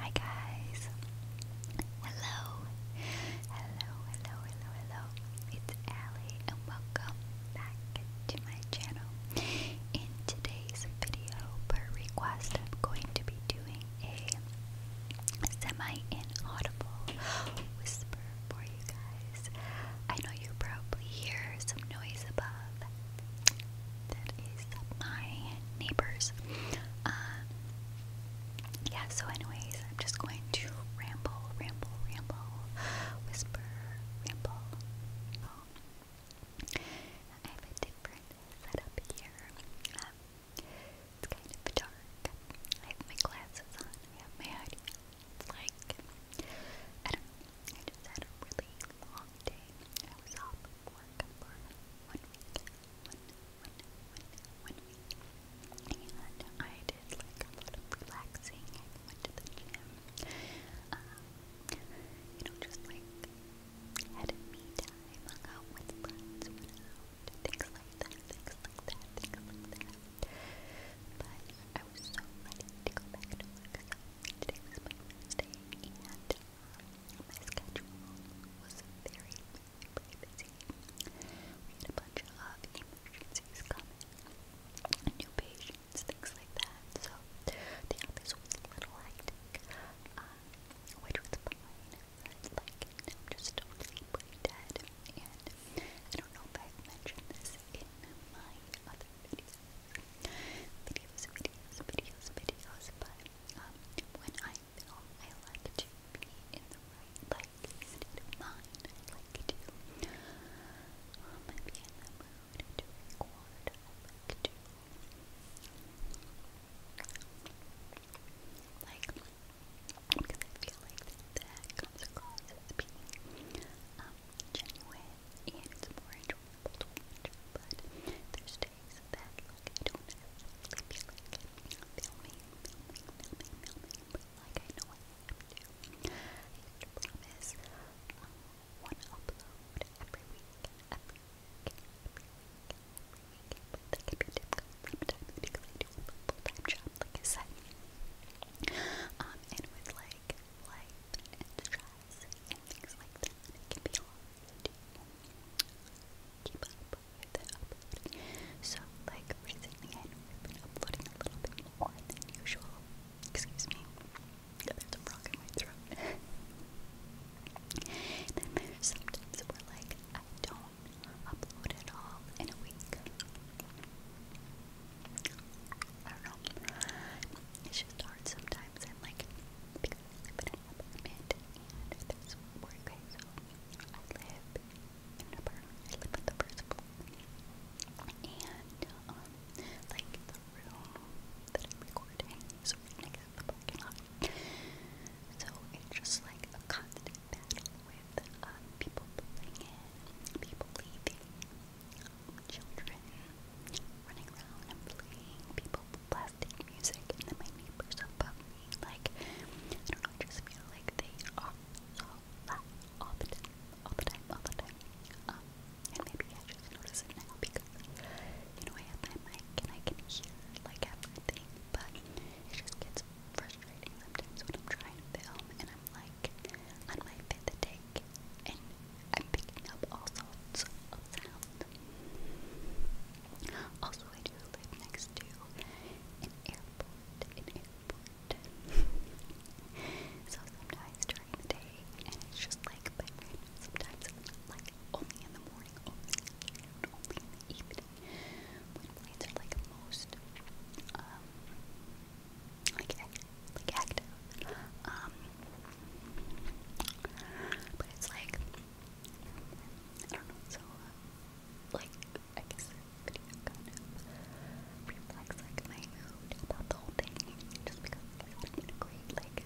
Hi guys! Hello! Hello, hello, hello, hello. It's Allie and welcome back to my channel. In today's video, per request, I'm going to be doing a semi-inaudible whisper for you guys. I know you probably hear some noise above, that is my neighbors. Uh, yeah, so, anyways, I'm just going to ramble, ramble, ramble, whisper, ramble. I have a different setup here. Um, it's kind of dark. I have my glasses on, I It's like, I don't know, I just had a really long day. I was off work for one week when, and I did like a lot relaxing. I went to the gym. you know, just like had me time, hung out with friends, things like that, things like that, things like that. But I was so ready to go back to work. So today and my schedule was very, very busy. We had a bunch of uh, emergencies coming, new patients, things like that. So the office was a little hectic, um, which was fine. But like, just totally dead. And I don't know if i mentioned this in my other Videos, videos, videos, videos, but um, when I film, I like to be in the right, like, state of mind. I like to um, be in the mood to record. I like because I feel like that comes across as being um, genuine and more enjoyable but there's days that I promise one upload every week, every week, every week, every week, but can be difficult sometimes because I do have full-time job, like I said. Um, and with like life and stress and things like that, it can be hard. So, like recently, I have been uploading a little bit more than usual. Excuse me, there's a frog in my throat. then there's sometimes where, like, I don't upload at all in a week. I don't know. It's just hard sometimes. I'm like, but an and this where I live in an apartment, on the first floor, and, um, like, the room that I'm recording is right next the parking lot, so it's just, like, a constant battle with, um, people pulling in, people leaving, children, running around and playing, people blasting music, and then my neighbors above me. Like, I don't know, I just feel like they are so loud all the time, all the time, all the time. Um, and maybe I just notice because, you know, I have my mic and I can hear, like, everything, but it just gets frustrating sometimes when I'm trying to film and I'm like on my fifth take and I'm picking up all sorts of sound. Also, I do live next to an airport, an airport. so sometimes during the day, and it's just like by random, sometimes it's like only in the morning, only in the afternoon, only in the evening, when planes are like most, um, like, like active. Um, but it's like, I don't know, so, uh, like, I guess video kind of reflects, like, my whole thing, just because I wanted to like, you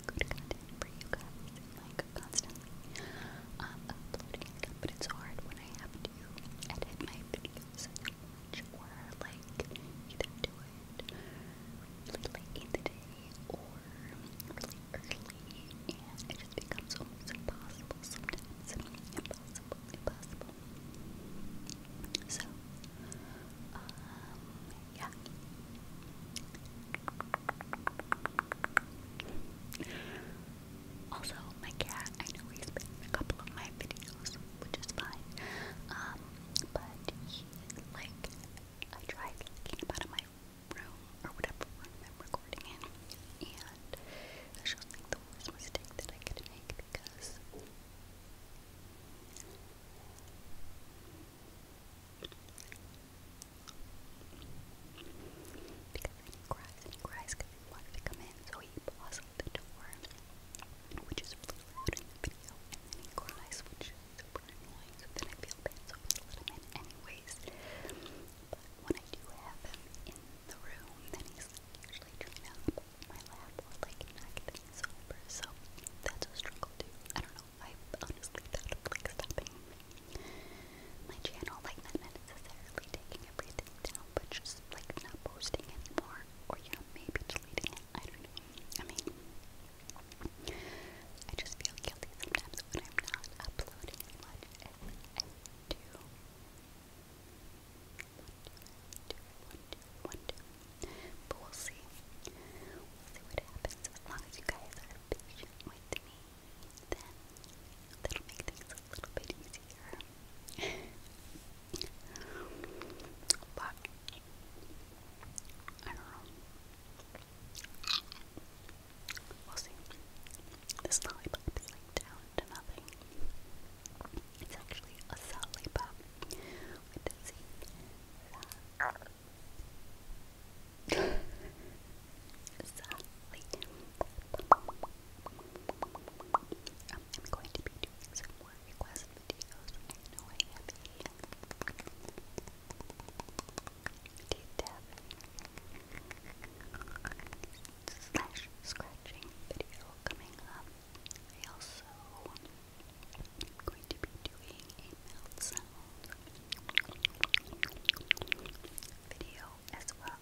constantly, um, uploading but it's hard when I have to edit my videos or, like, either in the day, or early and it just becomes almost impossible sometimes. Impossible, impossible. So, yeah. Also, my cat, I know he's been in a couple of my videos, which is fine. Um, but he, like, I tried getting him room or whatever I'm recording in. And I just think the worst mistake that I could make because because then cries and he cries come in, so he paused the door, which is really loud in the video, and then super annoying, so then I feel bad, so I let him in anyways. But when I do have him in the room, then he's usually trying to hop on my like knock things over, so that's a struggle too. I don't know, I've honestly thought of like stopping my channel, like not taking everything down, but just like not posting anymore, or you maybe deleting it, I mean, I just feel guilty sometimes when I'm not uploading as But we'll see. We'll see what happens. As long as you guys are patient with me, then that'll make things a little bit easier. I don't know. We'll see. This lollipop is like down to nothing. It's actually a lollipop. What does it say? Um, I'm going to be doing some more request videos deep slash scratching video coming up. I also am going to be doing a mouth sound video as well.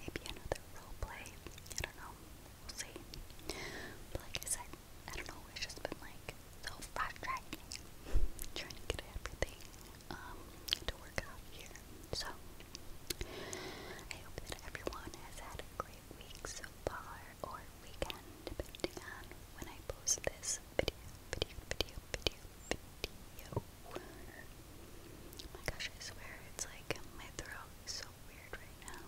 Maybe another role play. I don't know. We'll see. But like I said, I don't know. It's just been like so frustrating trying to get everything um, to work out here. So, I hope that everyone has had a great week so far, or weekend, depending on when I post this video, video, video, video, video. Oh my gosh, I swear, it's like my throat is so weird right now.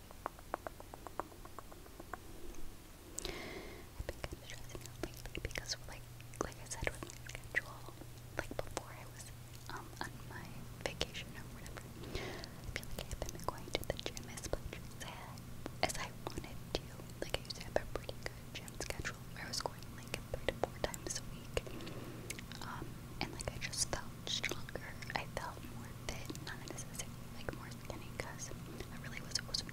I've been lately because, like, like I said, with my schedule, like before I was um, on my vacation or whatever, like I have been going to the gym as much as I, as I wanted to. Like I used to have a pretty good gym schedule where I was going like three to four times a week, um, and like I just felt stronger. I felt more fit, not necessarily like more beginning because I really was wasn't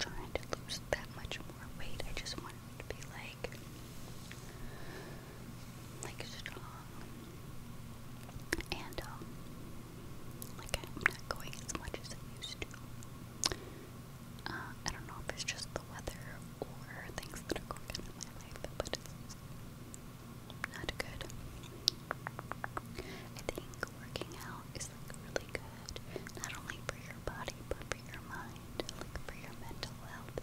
trying to lose that much more weight. I just wanted to be like like strong and um like I'm not going as much as I used to. Uh, I don't know if it's just the weather or things that are going on in my life, but it's not good. I think working out is like really good, not only for your body but for your mind, for your mental health.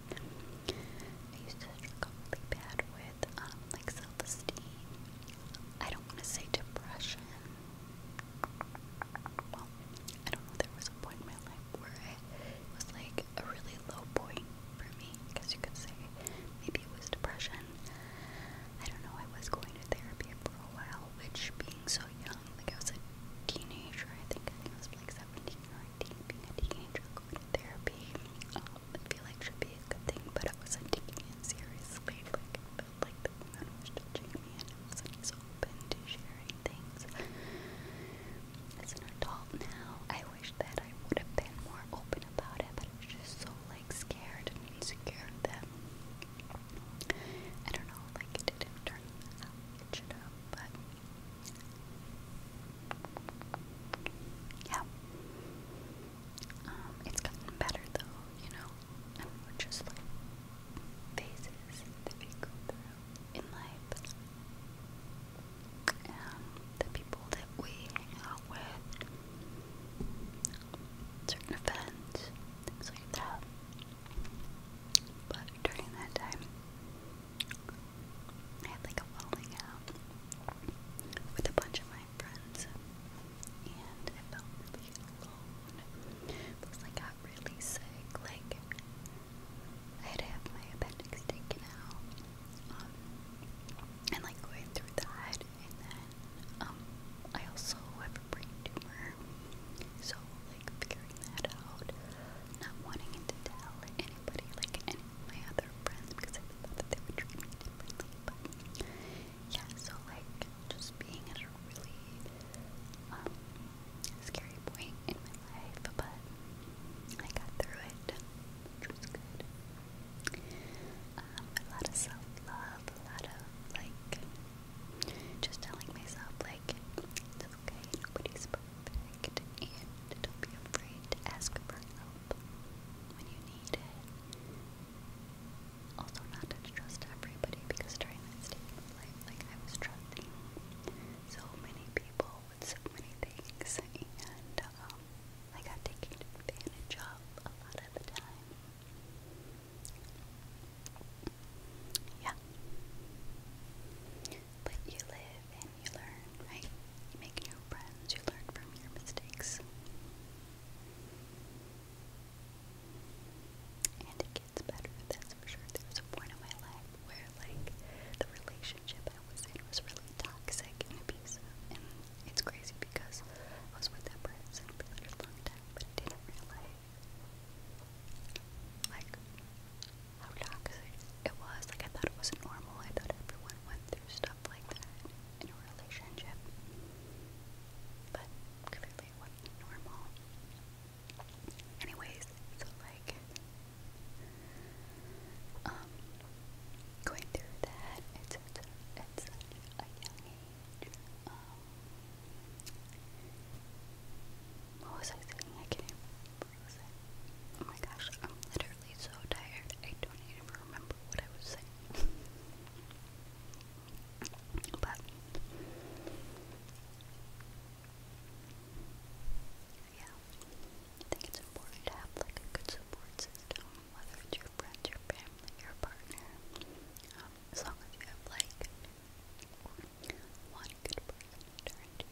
I used to struggle really bad with um, like self-esteem. I don't want to say depression. I don't know. There was a point in my life where it was like a really low point for me, I you could say. Maybe it was depression. I don't know, I was going to therapy for a while, which being so young, like I was a teenager, I think I was like 17 or 18, being a teenager, going to therapy, um, I feel like should be a good thing, but I wasn't taking it like like the woman was touching me and wasn't as open to sharing things. As an adult now, I wish that I would have been more open about it, but I was just so like scared and insecure that I don't know, like it didn't turn out it should but yeah. Um, it's gotten better though, you know. I we're just like phases that we go through in life. And the people that we hang out with certain events, things like that. But during that time, I had like a falling out with a bunch of my friends, and I felt alone. Plus, I got really sick. Like, I had to have my appendix taken out, um, and like going through that, and then um, I also have a brain tumor, so like figuring that out, not wanting to tell anybody, like any of my other friends, because I thought that they would treat me differently. But yeah, so like just being at a really um, scary point in my life, but I got through it, um, a lot of self love, a lot of like just telling myself like it's okay, nobody's perfect, and don't be afraid to ask for help when you need it. Also, not to trust everybody because during that state of life, like I was trusting so many people with so many things, and um, I got taken advantage of a lot of the time. Yeah. But you live and you learn, right? You make new friends, you learn from your mistakes. And it gets better, that's for sure. There was a point in my life where, like, the relationship I was in was really toxic and abusive, and it's crazy because I was with that person for a long time, but I didn't realize like how toxic it was. Like I thought it was normal. I thought everyone went through stuff like that in a relationship, but clearly wasn't normal. Anyways, so like, um, going through that, it's, it's, um, what was I thinking? I can't even. What Oh my gosh, I'm literally so tired. I don't even remember what I was saying. but yeah, I think it's important to have like a good support system whether it's your friends, your family, your partner, um, as long as you have like one good person to turn to,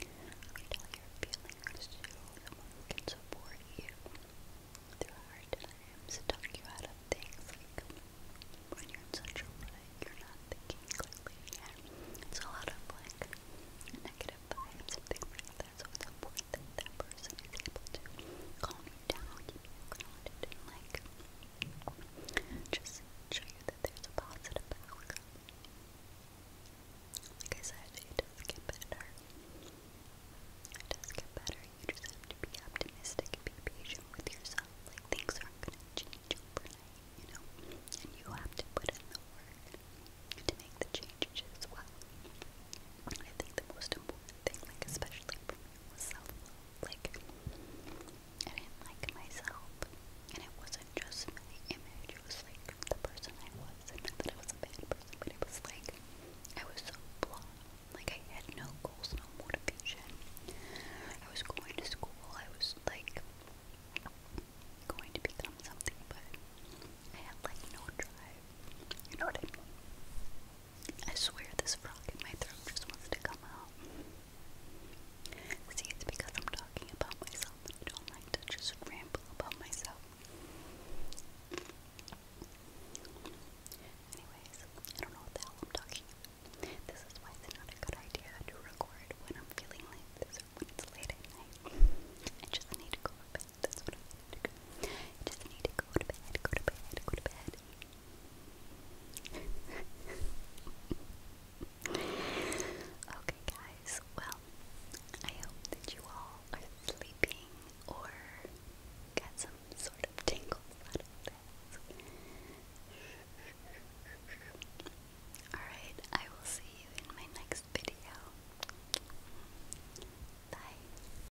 until you're feeling hurt to you through hard times, talk you out of things like when you're in such a way you're not thinking clearly. it's a lot of like negative vibes and things like that, so it's important that person is to calm you down, keep you like just show you that there's a positive outcome. Like I said, it does get better. It does get better. You just have to be optimistic and be patient with yourself. Like things aren't gonna change overnight, you know. And you have to put in the work to make the changes as well. I think the most important thing, like especially for self Like, I didn't like myself, and it wasn't just my image, it was like the person I was. not that I was a bad person, but it was like I was so blah. Like, I had no goals, no motivation. I was going to school, I was like going to become something, but I had like no drive. You know what I mean? I swear this frog in my throat just wants to come out. See, it's because I'm talking about myself I don't like to just ramble about myself. Anyways, I don't know what the hell I'm talking This is why it's not a good idea to record when I'm feeling like this it's late at night. I just need to go to bed i just need to go to bed, go to bed, go to bed. okay, guys. Well, I hope that you all are sleeping or got some sort of tingles Alright, I will see you in my next video. Bye.